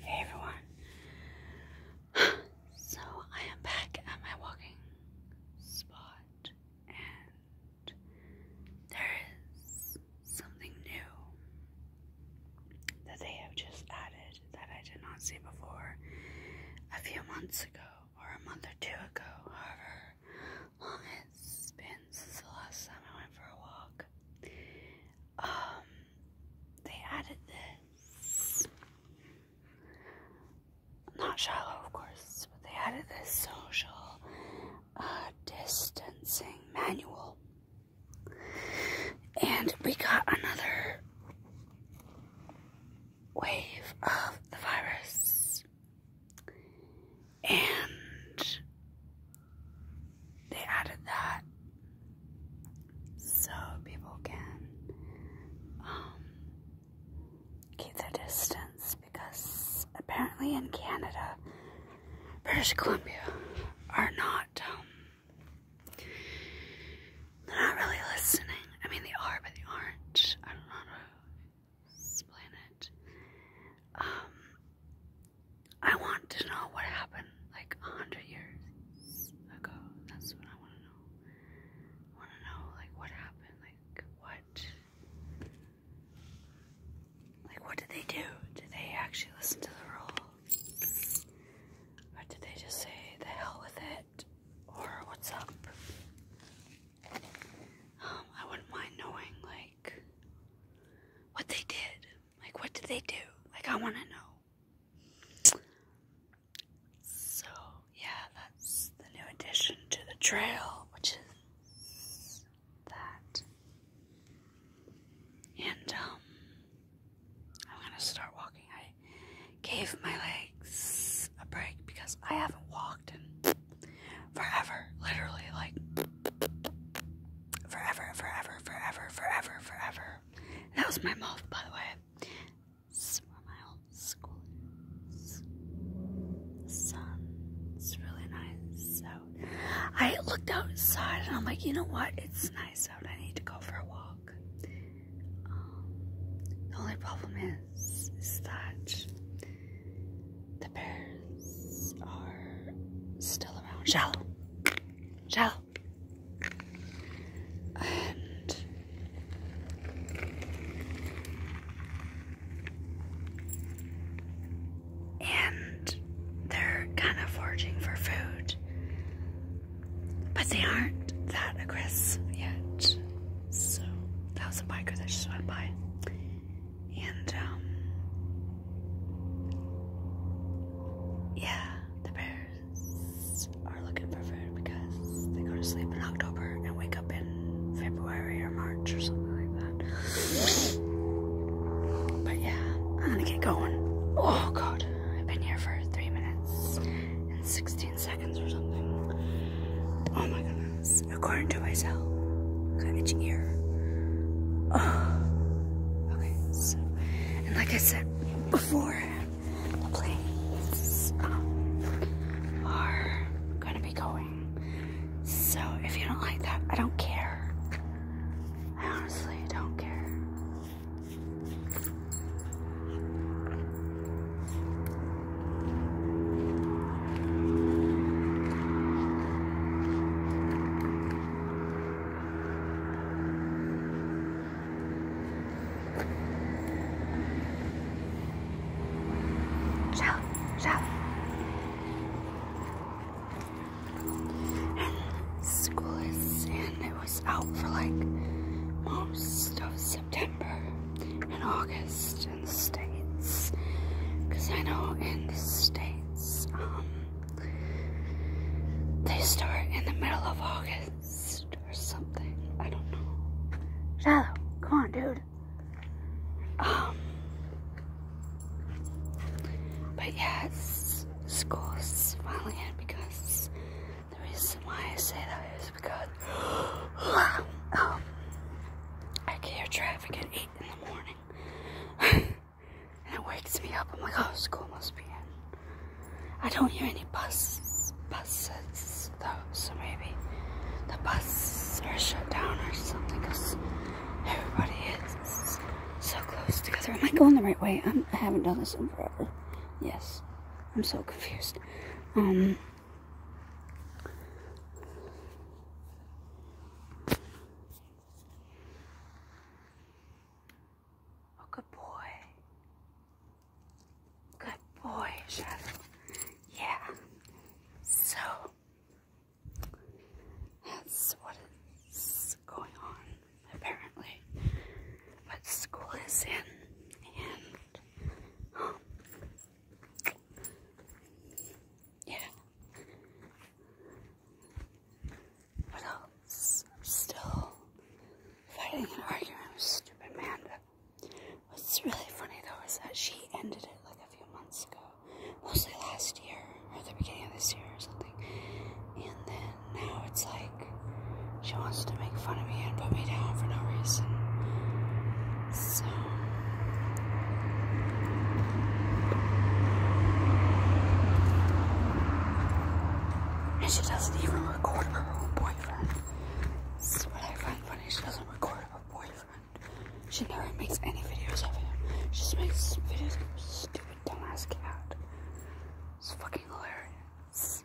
Hey everyone. So I am back at my walking spot and there is something new that they have just added that I did not see before a few months ago or a month or two ago, however long it's been since the last time I went for a walk. Um they added this. Not shallow, of course, but they added this social uh, distancing manual. And we got another wave of the virus. And they added that so people can um, keep their distance because apparently in Canada, British Columbia are not, um, they're not really listening. I mean, they are, but they aren't. I don't know how to explain it. Um, I want to know what happened like a hundred years ago. That's what I want to know. want to know like what happened, like what, like what did they do? Did they actually listen to the rule, or did they just say the hell with it, or what's up? Um, I wouldn't mind knowing like what they did. Like, what did they do? Like, I want to know. So, yeah, that's the new addition to the trail, which is that. And, um, I'm going to start walking. I gave my legs a break because I haven't walked in forever, literally, like forever, forever, forever, forever, forever. That was my mouth, by the way. It's where my old school is. The sun. It's really nice out. I looked outside and I'm like, you know what? It's nice out. I need to go for a walk. Um, the only problem is, is that the bears are still around. Shallow gel. And and they're kind of foraging for food, but they aren't that aggressive yet. So that was a biker that just went by, and um, yeah, the bears are looking for food because they go to sleep in October and wake up in February or March or something like that. But yeah, I'm gonna get going. Oh god, I've been here for three minutes and 16 seconds or something. Oh my goodness, according to myself, I've got itchy ear. Oh. Okay, so. And like I said before, the planes um, are gonna be going. So if you don't like that, I don't care. I honestly don't care. Shout, shout. And school is, and it was out for like most of September and August in the States. Because I know in the States, um, they start in the middle of August or something. I don't know. Shallow, come on, dude. Um, but yes, school's finally in because the reason why I say that is because um, I get here traffic at 8 in the morning. And it wakes me up. I'm like, oh, school must be in. I don't hear any buses, buses though, so maybe the buses are shut down or something because everybody is so close together. Am I going the right way? i have not done this in forever. Yes. I'm so confused. Um... Oh, good boy. Good boy, Shadow. Yeah. So, that's what is going on, apparently. But school is in, and, um, yeah. What else? still fighting an argument with stupid Amanda. What's really funny though is that she ended it like a few months ago. Mostly last year or the beginning of this year or something. And then now it's like she wants to make fun of me and put me down for no reason. So and she doesn't even record her own boyfriend. This is what I find funny. She doesn't record her boyfriend. She never makes any videos of him. She just makes videos of stupid dumbass cat. It's fucking hilarious.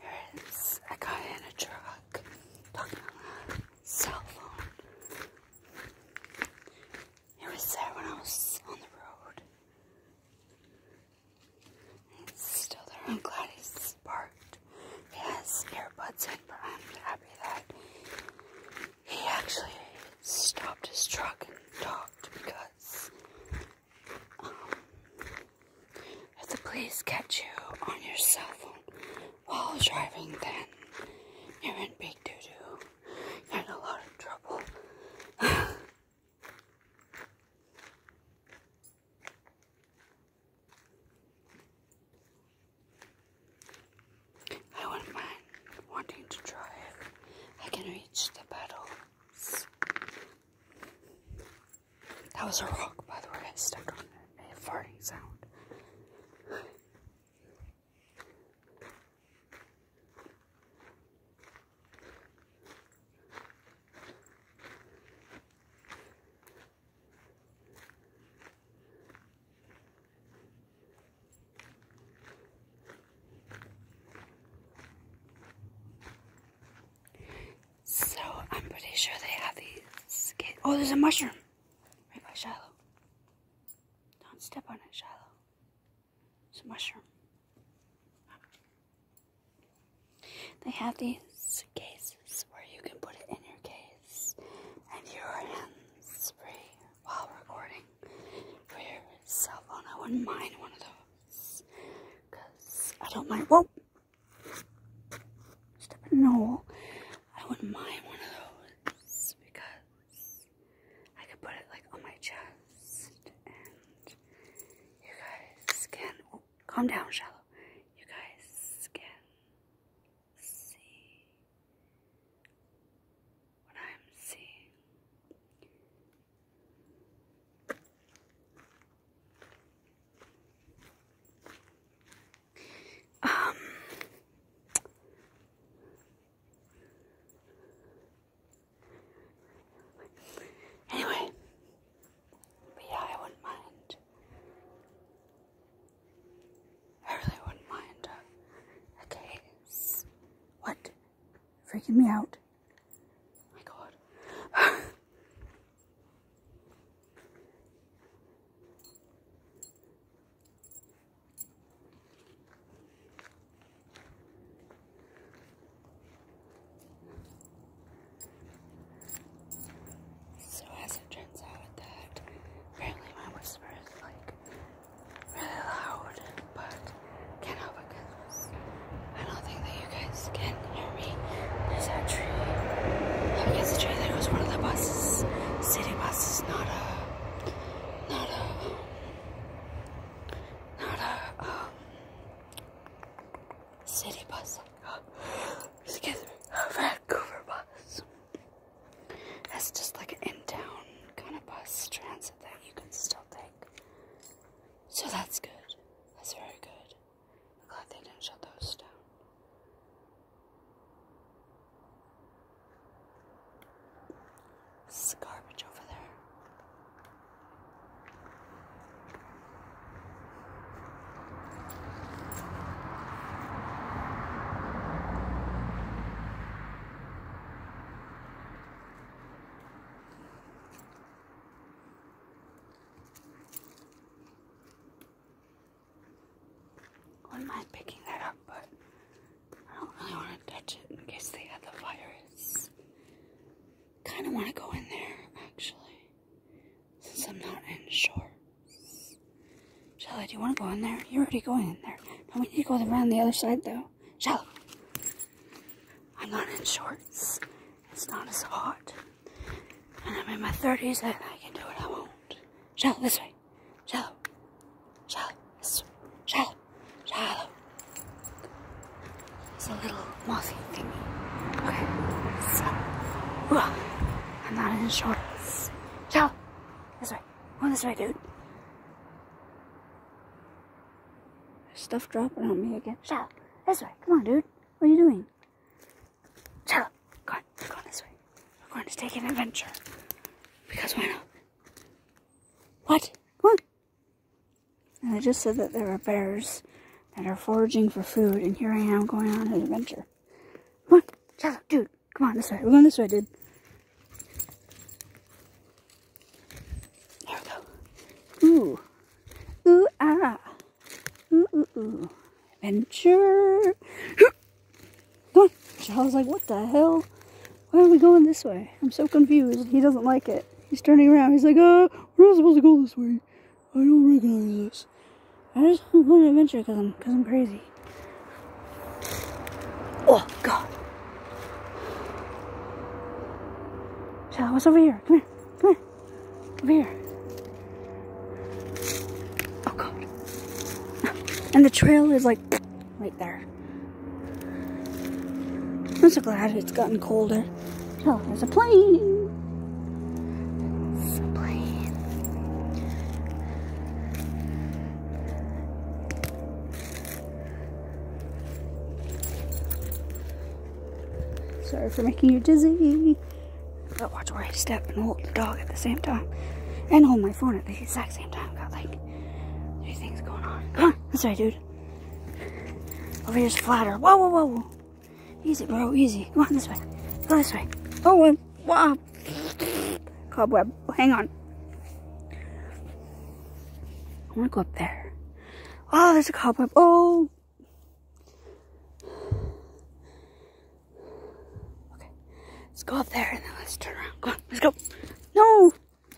There is a guy in a truck talking on a cell phone. It was there when I was on the road. It's still there. I'm glad he's parked. He has earbuds in, but I'm happy that he actually stopped his truck and talked because um, if the police catch you on your cell phone while driving, then you're in big doo doo. You're in a lot of trouble. I wouldn't mind wanting to try I can reach the pedals. That was a rock, by the way. I stuck on it. a farting sound. So I'm pretty sure they have these. Oh, there's a mushroom right by Shiloh. Don't step on it, Shiloh. It's a mushroom. They have these cases where you can put it in your case and your hands free while recording for your cell phone. I wouldn't mind one of those because I don't mind. Well, Step in I wouldn't mind one of those because I could put it like on my chest and you guys can. Oh, Calm down, Shallow. You guys can see what I'm seeing. Um, anyway, yeah, I wouldn't mind. I really wouldn't mind a, What? Freaking me out. my god. So as it turns out that apparently my whisper is like really loud, but can't help it because I don't think that you guys can hear me. There's that tree. I guess the tree that was one of the buses, city buses, not a, not a, not a um, city bus. excuse me, Vancouver bus. That's just like an in-town kind of bus transit that you can still take. So that's good. That's very good. I'm glad they didn't shut those down. This garbage over there wouldn't mind picking that up, but I don't really want to touch it in case they had the virus. Kind of want to go in there, actually since I'm not in shorts. Shelly, do you want to go in there? You're already going in there. No, we need to go around the other side, though. Shelly, I'm not in shorts. It's not as hot. And I'm in my 30s, and I can do what I want. Shelly, this way. Shelly, Shelly, this way. Shelly, Shelly. It's a little mossy thingy. Okay, so, ugh, I'm not in shorts. Ciao! This way. Go this way, dude. stuff dropping on me again. Ciao! This way. Come on, dude. What are you doing? Ciao! Go on. We're going this way. We're going to take an adventure. Because why not? What? What? And I just said that there are bears that are foraging for food, and here I am going on an adventure. Come on, Charlotte, dude, come on this way. We're going this way, dude. There we go. Ooh, ooh ah, ooh ooh ooh, adventure. come on. Charlotte's like, what the hell? Why are we going this way? I'm so confused. He doesn't like it. He's turning around. He's like, uh, we're not supposed to go this way. I don't recognize this. I just want an adventure because I'm, cause I'm crazy. Oh, God. Shala, what's over here? Come here. Come here. Over here. Oh, God. And the trail is like right there. I'm so glad it's gotten colder. Oh, there's a plane. Sorry for making you dizzy. But watch where I step and hold the dog at the same time. And hold my phone at the exact same time. Got like three things going on. Come on. That's right, dude. Over here's flatter. Whoa, whoa, whoa. Easy, bro, easy. Go on, this way. Go this way. Oh, wow. Cobweb. Hang on. I want to go up there. Oh, there's a cobweb. Oh. Okay. Let's go up there and then let's turn around. Go. on, let's go. No.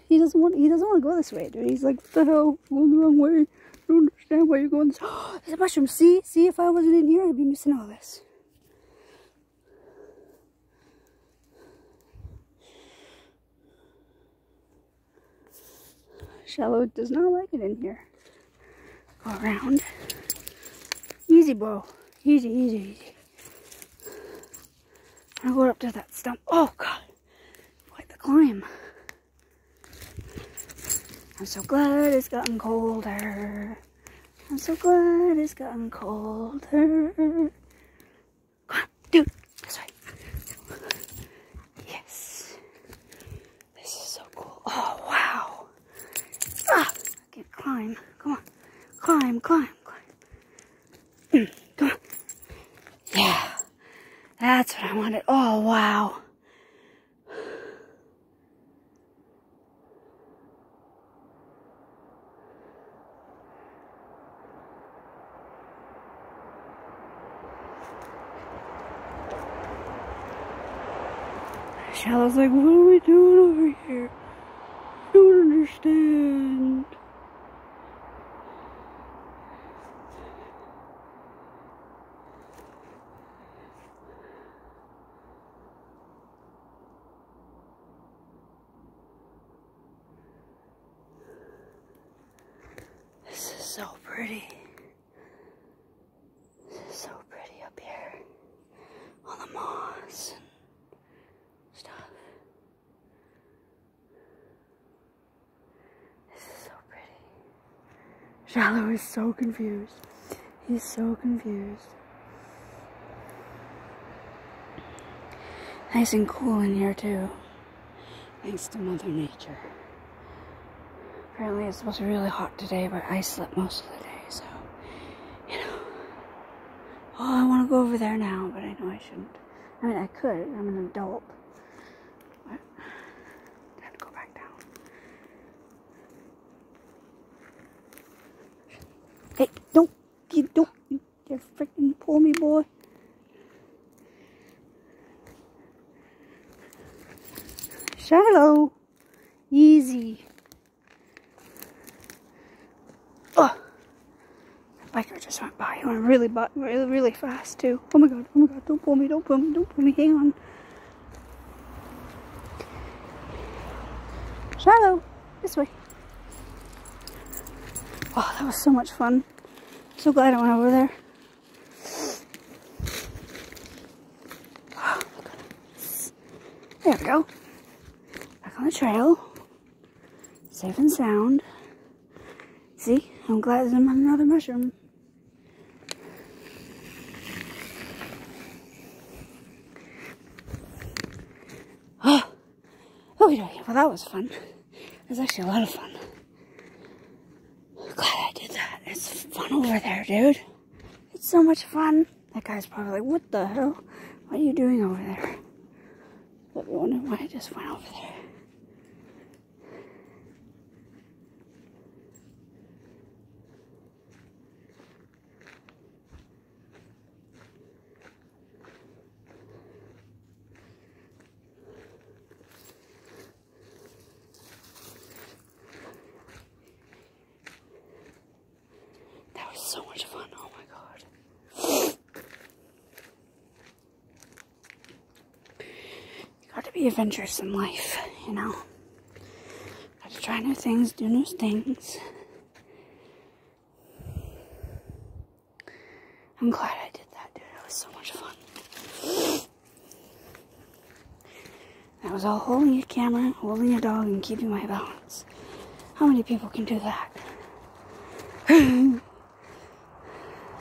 He doesn't want, he doesn't want to go this way, dude. He's like, what the the wrong way. I don't understand why you're going this. Oh, there's a mushroom. See? See, if I wasn't in here, I'd be missing all this. Shallow does not like it in here. Go around. Easy, bro. Easy, easy, easy. i go up to that stump. Oh, God. Quite the climb. I'm so glad it's gotten colder. I'm so glad it's gotten colder. Come on, dude, this way. Yes. This is so cool. Oh, wow. Ah, I can't climb. Come on. Climb, climb, climb. Mm, come on. Yeah. That's what I wanted. Oh, wow. Shallow's like, what are we doing over here? I don't understand. This is so pretty. so pretty up here. All the moss and stuff. This is so pretty. Shallow is so confused. He's so confused. Nice and cool in here too. Thanks to Mother Nature. Apparently it's supposed to be really hot today, but I slept most of the day, so you know. Oh, I want to go over there now, but I know I shouldn't. I mean, I could. I'm an adult. But have to go back down. Hey, don't, you don't, you freaking pull me, boy. Shallow. Easy. Oh, the biker just went by. He went really, really fast, too. Oh my god, oh my god, don't pull me, don't pull me, don't pull me, hang on. Shiloh, this way. Oh, that was so much fun. So glad I went over there. Oh, there we go. Back on the trail. Safe and sound. See, I'm glad there's another mushroom. Oh, oh, well, that was fun. It was actually a lot of fun. Glad I did that. It's fun over there, dude. It's so much fun. That guy's probably like, what the hell? What are you doing over there? But wonder why I just went over there. That was so much fun. Oh my god. You gotta be adventurous in life, you know. Gotta try new things, do new things. I'm glad I did that, dude. It was so much fun. That was all holding a camera, holding a dog, and keeping my balance. How many people can do that?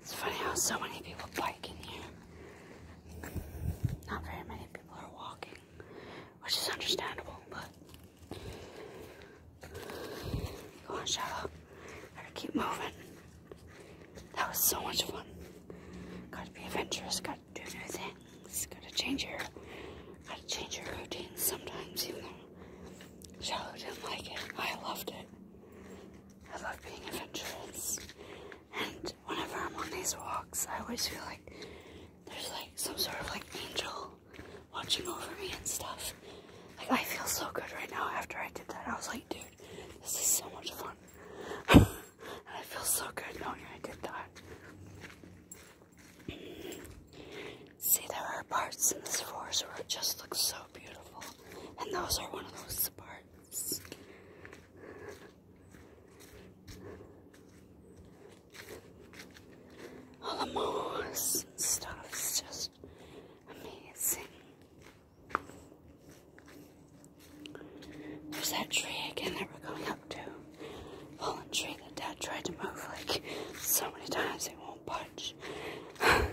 It's funny how so many people bike in here. Not very many people are walking, which is understandable, but go on, Shadow. Gotta keep moving. That was so much fun. Gotta be adventurous, gotta do new things, gotta change your gotta change your routine sometimes even though Shallow didn't like it. I loved it. I love being adventurous. And whenever I'm on these walks, I always feel like there's like some sort of like angel watching over me and stuff. Like I feel so good right now after I did that. I was like, dude, this is so much fun. and I feel so good knowing I did that. See, there are parts in this forest where it just looks so beautiful. And those are one of those parts. All the moss and stuff is just amazing. There's that tree again that we're going up to. Fallen tree that Dad tried to move like so many times it won't budge.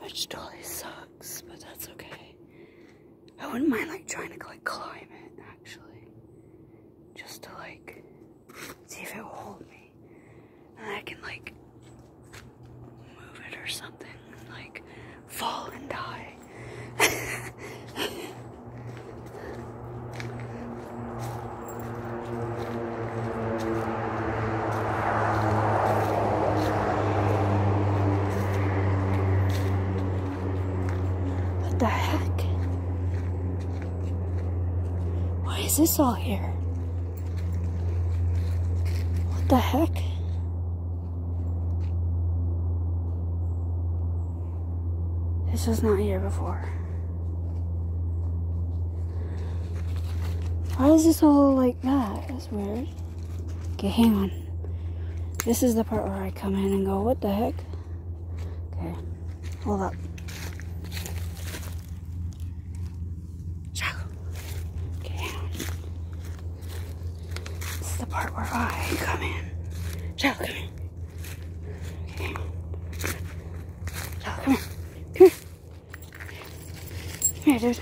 Which totally sucks, but that's okay. I wouldn't mind like trying to like climb it actually. Just to like see if it will hold me. And I can like move it or something. Like fall and die. what the heck? Why is this all here? What the heck? This was not here before. Why is this all like that? That's weird. Okay, hang on. This is the part where I come in and go, what the heck? Okay, hold up. Okay, this is the part where I come in. Shall come in. here. here, dude.